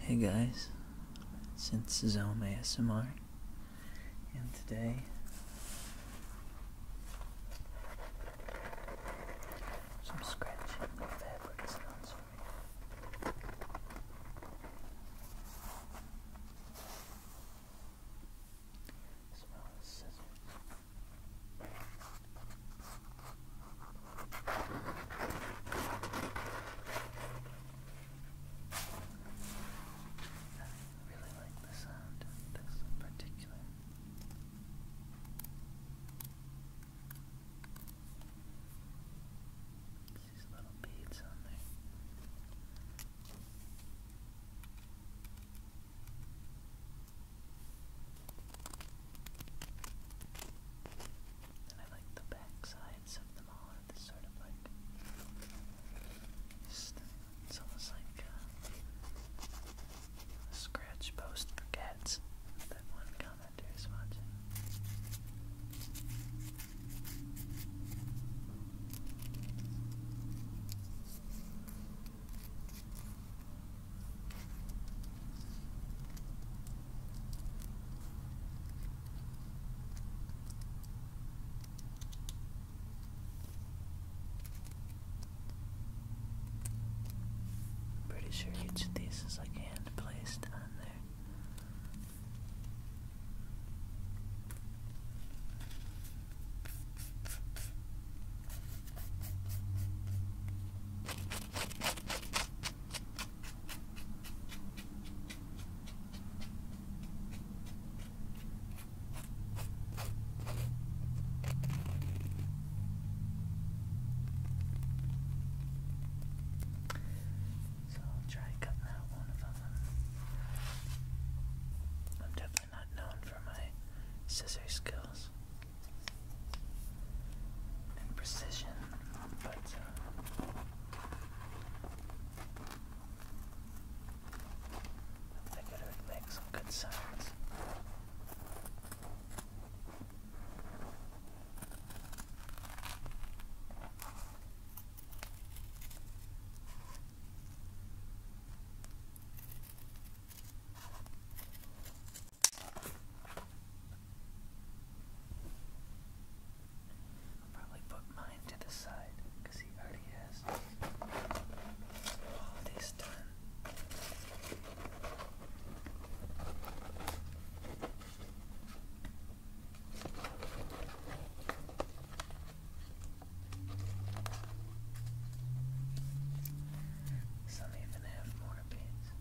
Hey guys, since Zome ASMR, and today some scratching of fabric sounds for you. As well scissors. I really like the sound of this in particular. These little beads on there. And I like the back of them all this sort of like it's almost like uh, scratch post for that one commenter is watching. Pretty sure each of these is like hand placed on there. So I'll try and out one of them. I'm definitely not known for my scissor skills precision, but uh, I think it would make some good sounds. I'll probably put mine to the side because he already has all this done. Some even have more pins.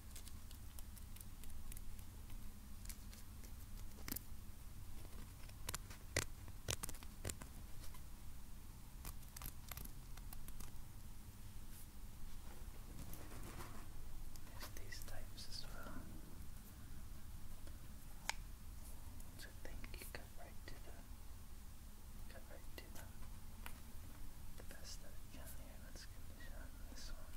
There's these types as well. So think you go right to the go right to the the best that I can here. Let's condition on this one.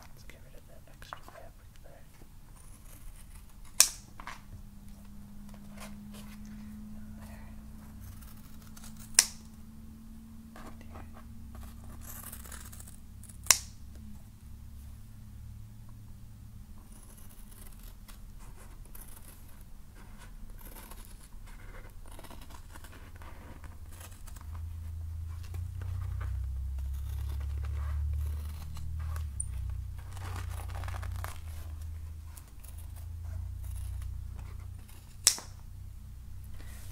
Let's get rid of that extra fabric there. And there. And here.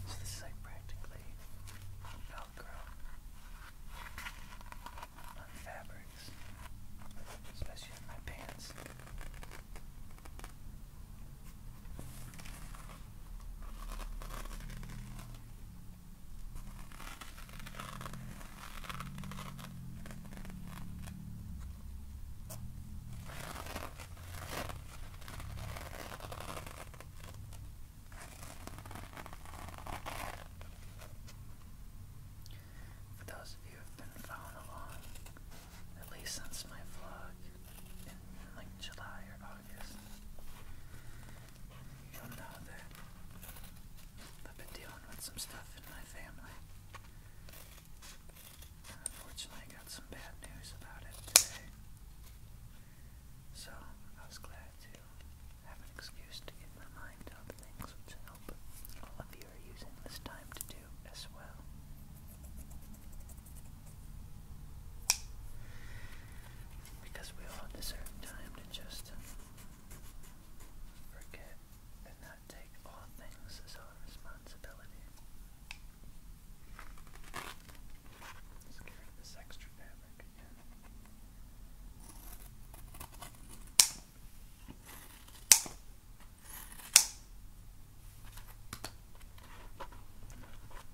So this is like practically Velcro fabrics, especially my pants. For those of you who have been following along, at least since my vlog in like July or August, you'll know that I've been dealing with some stuff in my family. And unfortunately, I got some bad news about it today. So I was glad to have an excuse to get my mind on things which I hope all of you are using this time to do as well. Because we all deserve time to just forget and not take all things as our responsibility. Let's get rid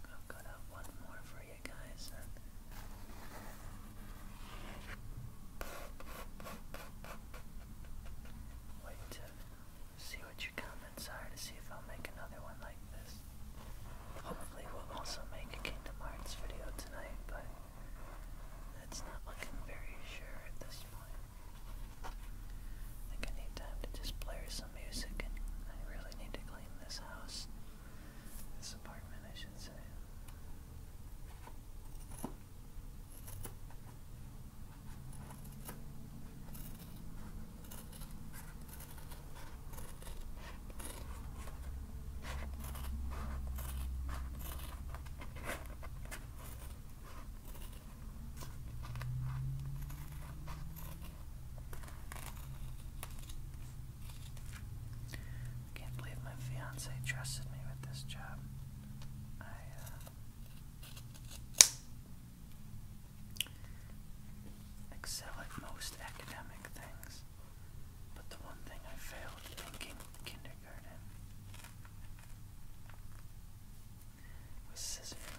I've got up one more for you guys. Wait to see what your comments are to see if I'll make another one like this. Hopefully we'll also make a Kingdom Hearts video tonight, but that's not looking very sure at this point. I think I need time to just play some music and I really need to clean this house. This apartment I should say. I can't believe my fiance trusted me with this job. I, uh, excel at most academic things class, but the one thing I failed in kindergarten was scissoring.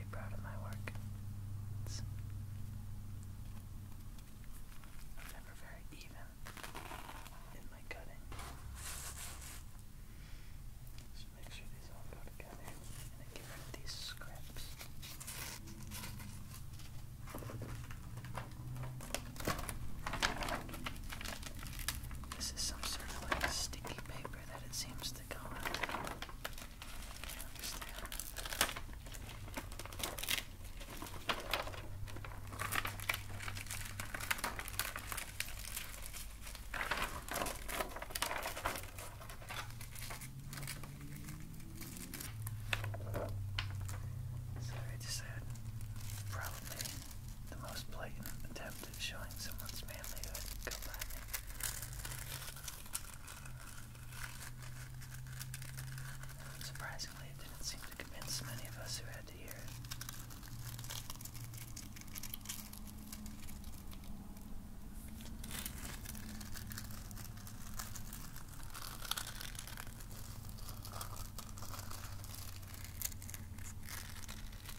pretty proud I'm never very even in my cutting. Just make sure these all go together and then get rid of these scraps. This is some sort of like sticky paper that it seems to go on so I just had probably the most blatant attempt at showing someone's manlyhood. Surprisingly, it didn't seem to convince many of us who had to hear it.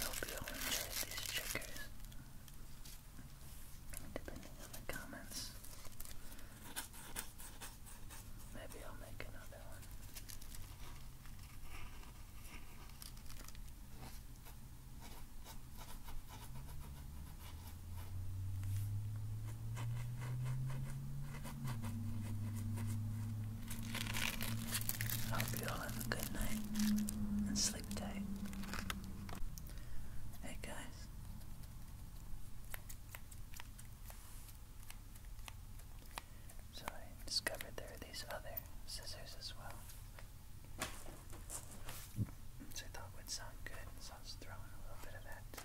hope you all enjoyed these checkers. Depending on the comments, maybe I'll make another one. I hope you all have a good night and sleep tight. Hey guys. So I discovered there are these other scissors as well. So I thought would sound good, so I was throwing a little bit of that too.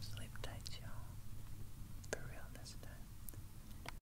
Sleep tight, y'all. For real this